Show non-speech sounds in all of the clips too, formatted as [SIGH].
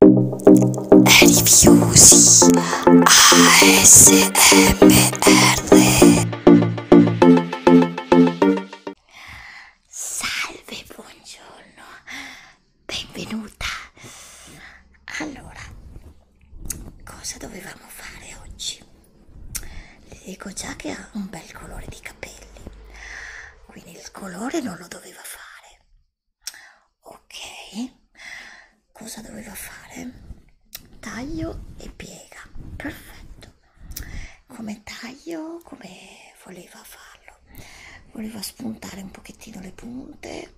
Rifiusi ASMR Salve, buongiorno, benvenuta. Allora, cosa dovevamo fare oggi? Le dico già che ha un bel colore di capelli, quindi il colore non lo doveva fare ok cosa dovevo fare taglio e piega perfetto come taglio come voleva farlo voleva spuntare un pochettino le punte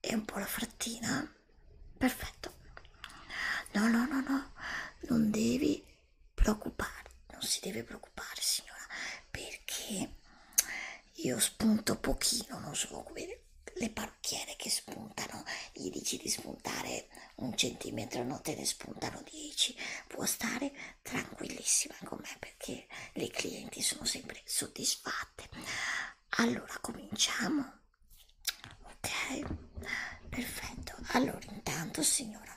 e un po' la frattina perfetto no no no no non devi preoccuparti non si deve preoccupare preoccupare signora perché io spunto pochino, non so come le parrucchiere che spuntano, gli dici di spuntare un centimetro, no te ne spuntano 10, può stare tranquillissima con me perché le clienti sono sempre soddisfatte. Allora cominciamo, ok? Perfetto. Allora intanto signora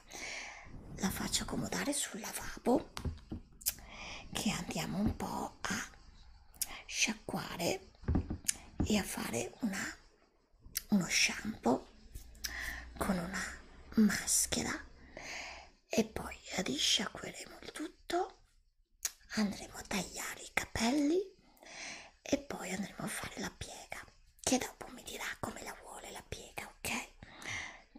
la faccio accomodare sul lavabo che andiamo un po' a sciacquare e a fare una, uno shampoo con una maschera e poi risciacqueremo il tutto andremo a tagliare i capelli e poi andremo a fare la piega che dopo mi dirà come la vuole la piega ok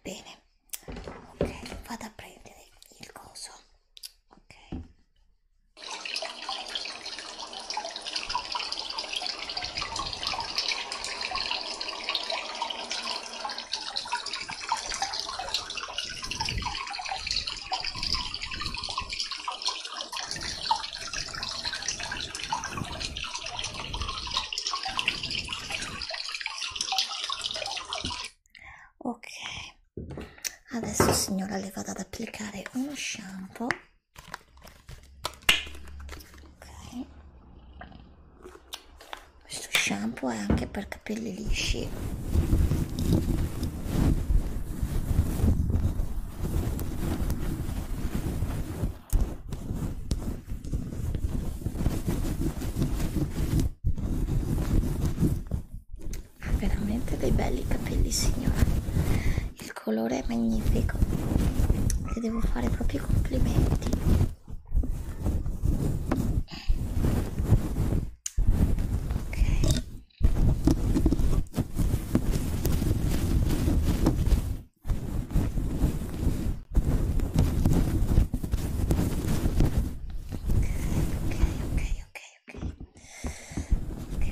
bene ok vado a prendere il coso ok ok adesso signora le vado ad applicare uno shampoo ok questo shampoo è anche per capelli lisci ha veramente dei belli capelli signori il colore è magnifico e devo fare proprio i complimenti ok ok, ok, ok, ok.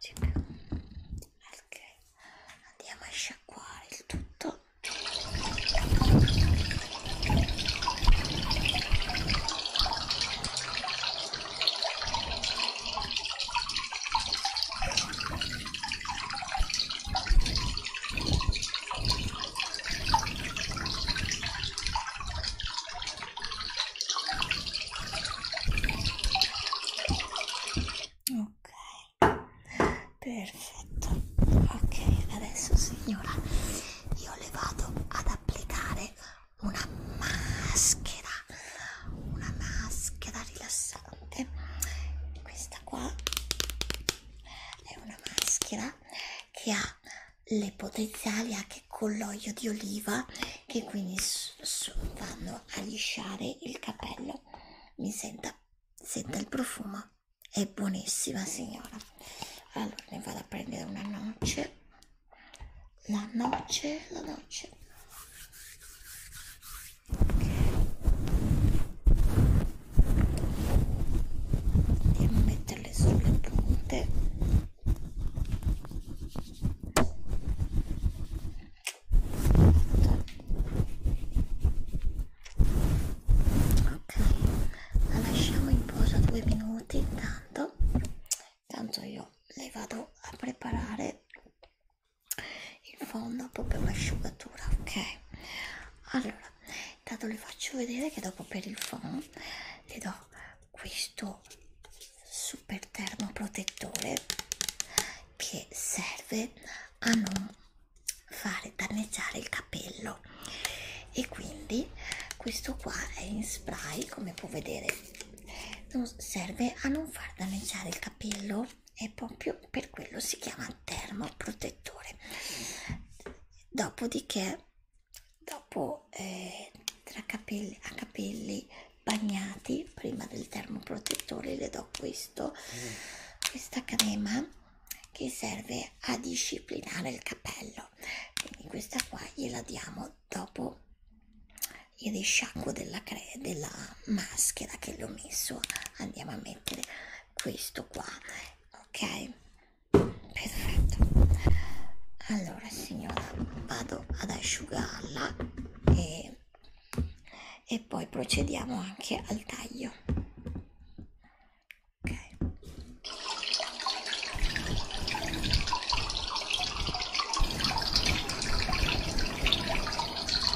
Check. ok andiamo a sciacquare il tutto ok Ok, perfetto. Ok, adesso signora, io le vado ad applicare una maschera, una maschera rilassante interessante questa qua è una maschera che ha le potenziali anche con l'olio di oliva che quindi vanno a lisciare il capello mi senta, senta il profumo è buonissima signora allora ne vado a prendere una noce la noce la noce andiamo a metterle sulle punte ok la lasciamo in posa due minuti intanto tanto io le vado a preparare il fondo proprio l'asciugatura ok allora intanto le faccio vedere che dopo per il fondo ti do questo super termoprotettore che serve a non fare danneggiare il capello e quindi questo qua è in spray come può vedere non serve a non far danneggiare il capello e proprio per quello si chiama termoprotettore. Dopodiché, dopo eh, tra capelli, a capelli bagnati, prima del termoprotettore, le do questo, mm. questa crema che serve a disciplinare il capello. Quindi questa qua gliela diamo dopo il risciacquo della, della maschera che l'ho messo andiamo a mettere questo qua ok perfetto allora signora vado ad asciugarla e, e poi procediamo anche al taglio ok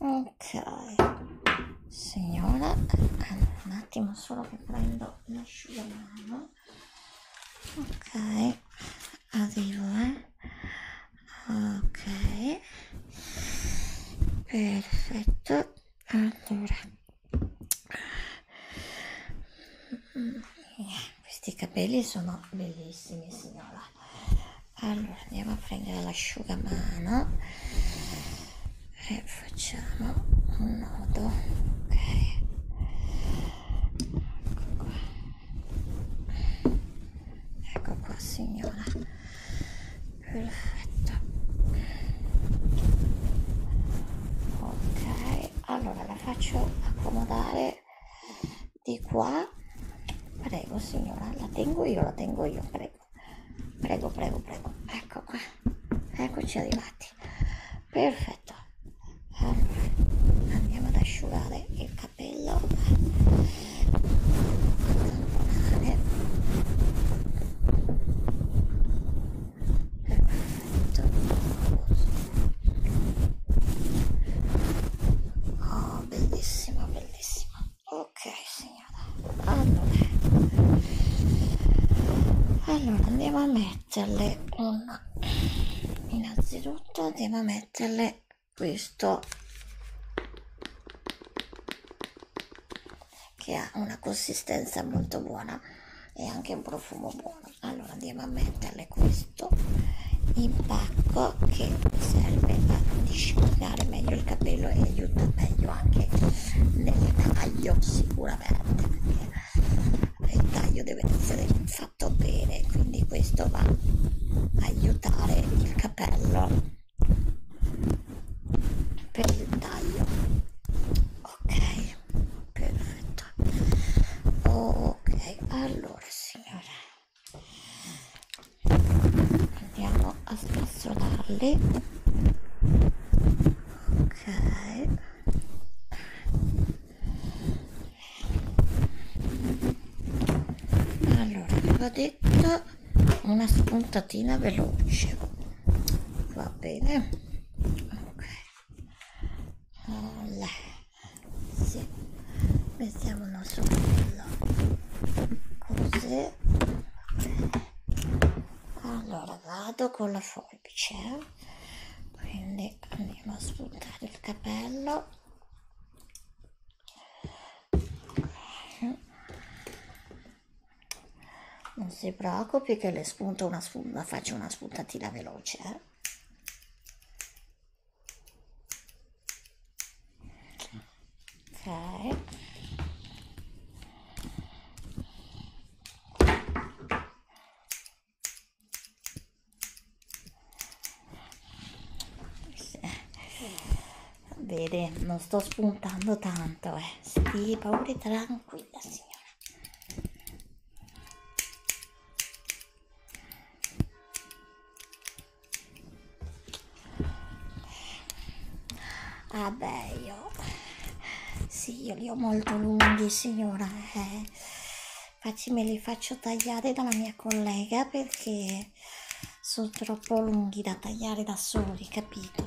Ok, signora, allora, un attimo solo che prendo l'asciugamano. Ok, arrivo, eh. Ok, perfetto. Allora, questi capelli sono bellissimi, signora. Allora andiamo a prendere l'asciugamano e facciamo un nodo. Ok. Ecco qua. Ecco qua, signora. Perfetto. Ok, allora la faccio accomodare di qua. Prego signora, la tengo io, la tengo io, prego. Prego, prego, prego. Ecco qua. Eccoci arrivati. Perfetto. Allora, andiamo ad asciugare il capello. Tamponare perfetto oh bellissima bellissima ok signora allora allora andiamo a metterle un innanzitutto andiamo a metterle questo che ha una consistenza molto buona e anche un profumo buono allora andiamo a metterle questo impacco che serve a disciplinare meglio il capello e aiuta meglio anche nel taglio sicuramente perché il taglio deve essere fatto bene quindi questo va a aiutare il capello per il taglio ok pianeta ok allora signore andiamo a spazzolarli ok allora aveva detto una spuntatina veloce va bene ok Olè. Sì. Mettiamo il nostro pollo. Così. Allora vado con la forbice. Eh. Quindi andiamo a spuntare il capello. Non si preoccupi che le spunto una, faccio una spuntatina veloce veloce. Eh. Ok. Vede, non sto spuntando tanto, eh. Sì, paure tranquilla, signora. Vabbè, ah io sì, io li ho molto lunghi, signora. Eh. Facci, me li faccio tagliare dalla mia collega perché sono troppo lunghi da tagliare da soli, capito?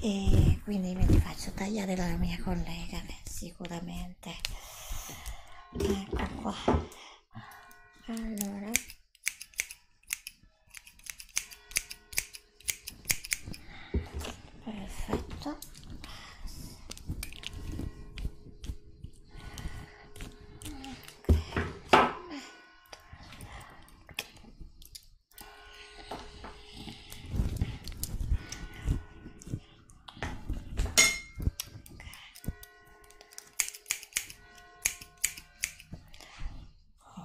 E quindi me li faccio tagliare dalla mia collega bene sicuramente ecco qua allora perfetto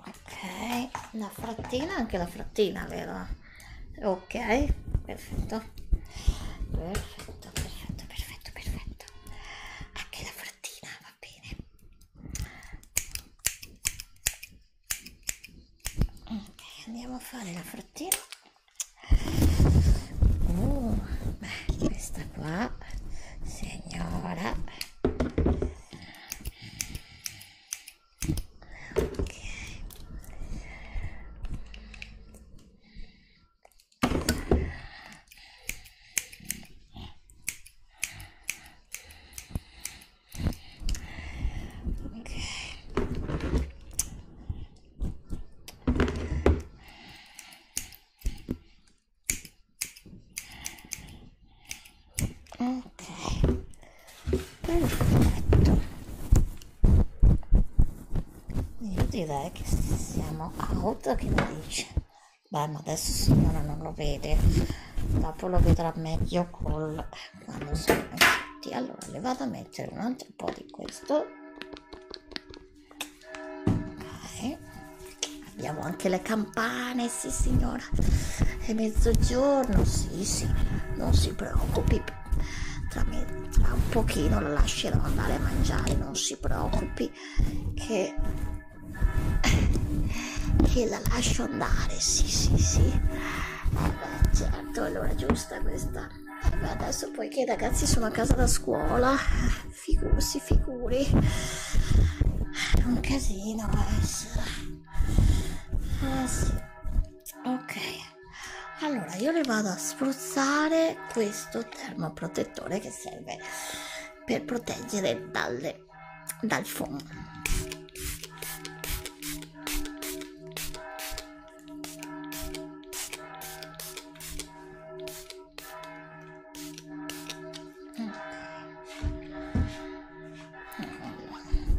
ok una frattina anche la frattina vero ok perfetto perfetto perfetto perfetto perfetto anche la frattina va bene ok andiamo a fare la frattina uh, beh, questa qua signora ok ok ok perfetto io direi che siamo out che lo dice beh ma adesso signora non lo vede dopo lo vedrà meglio col quando sono tutti allora le vado a mettere mettere un altro po' di questo Dai. abbiamo anche le campane sì signora è mezzogiorno sì sì non si preoccupi tra, me, tra un pochino lo lascerò andare a mangiare non si preoccupi che che la lascio andare sì sì sì eh beh, certo allora giù giusta questa. Vabbè, adesso poiché i ragazzi sono a casa da scuola, figu- si figuri. È un casino adesso. Eh sì. Ok. Allora, io le vado a spruzzare questo termoprotettore che serve per proteggere dalle, dal fumo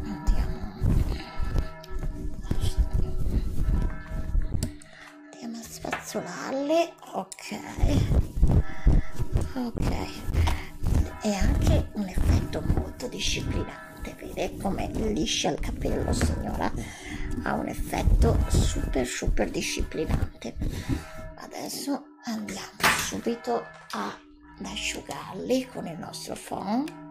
andiamo a spazzolarle ok ok e anche un effetto molto disciplinato importante vedere come liscia il capello signora ha un effetto super super disciplinante adesso andiamo subito ad asciugarli con il nostro phon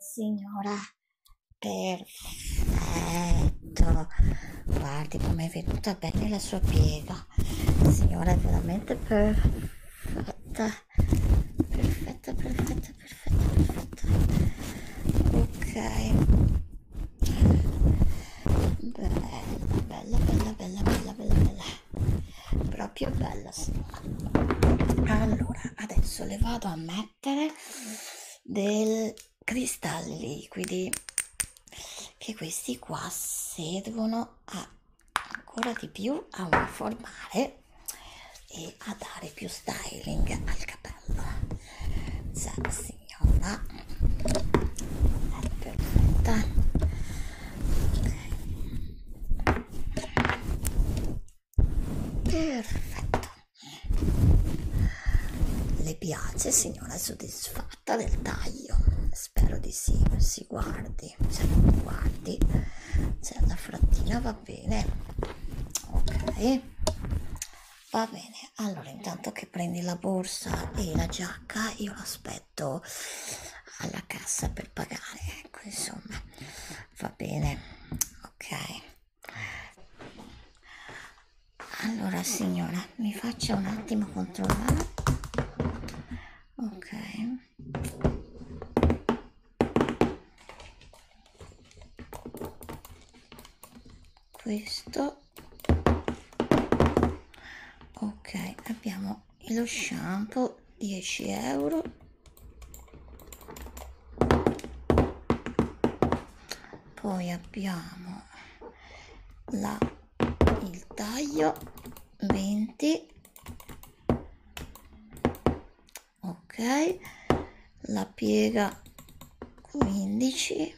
signora perfetto guardi com'è venuta bene la sua piega signora è veramente perfetta perfetta perfetta perfetta perfetta ok bella bella bella bella bella bella bella proprio bella signora allora adesso le vado a mettere del cristalli liquidi che questi qua servono a ancora di più a uniformare e a dare più styling al capello cioè signora è ecco, perfetta okay. perfetto le piace signora soddisfatta porta del taglio spero di sì si guardi se non guardi se la frattina va bene ok va bene allora intanto che prendi la borsa e la giacca io l'aspetto alla cassa per pagare ecco insomma va bene ok allora signora mi faccia un attimo controllare ok questo ok abbiamo lo shampoo 10 euro poi abbiamo la il taglio 20 ok la piega 15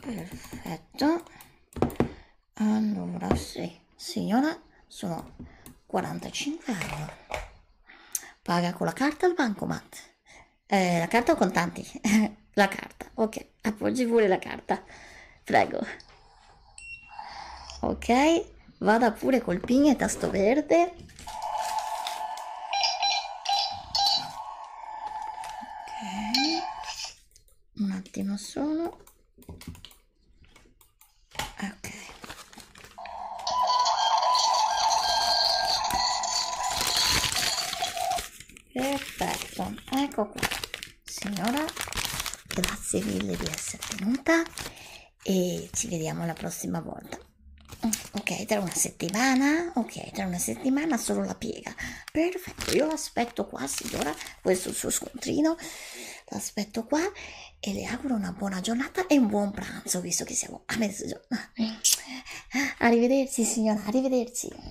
perfetto allora sì signora sono 45 euro paga con la carta al bancomat eh, la carta o contanti [LAUGHS] la carta ok sì, appoggi pure la carta. Prego. Ok, vada pure col ping e tasto verde. Ok. Un attimo solo. Ok perfetto ecco qua signora grazie mille di essere venuta e ci vediamo la prossima volta mm, ok tra una settimana ok tra una settimana solo la piega perfetto io aspetto qua signora questo suo scontrino l'aspetto qua e le auguro una buona giornata e un buon pranzo visto che siamo a mezzogiorno mm. ah, arrivederci signora arrivederci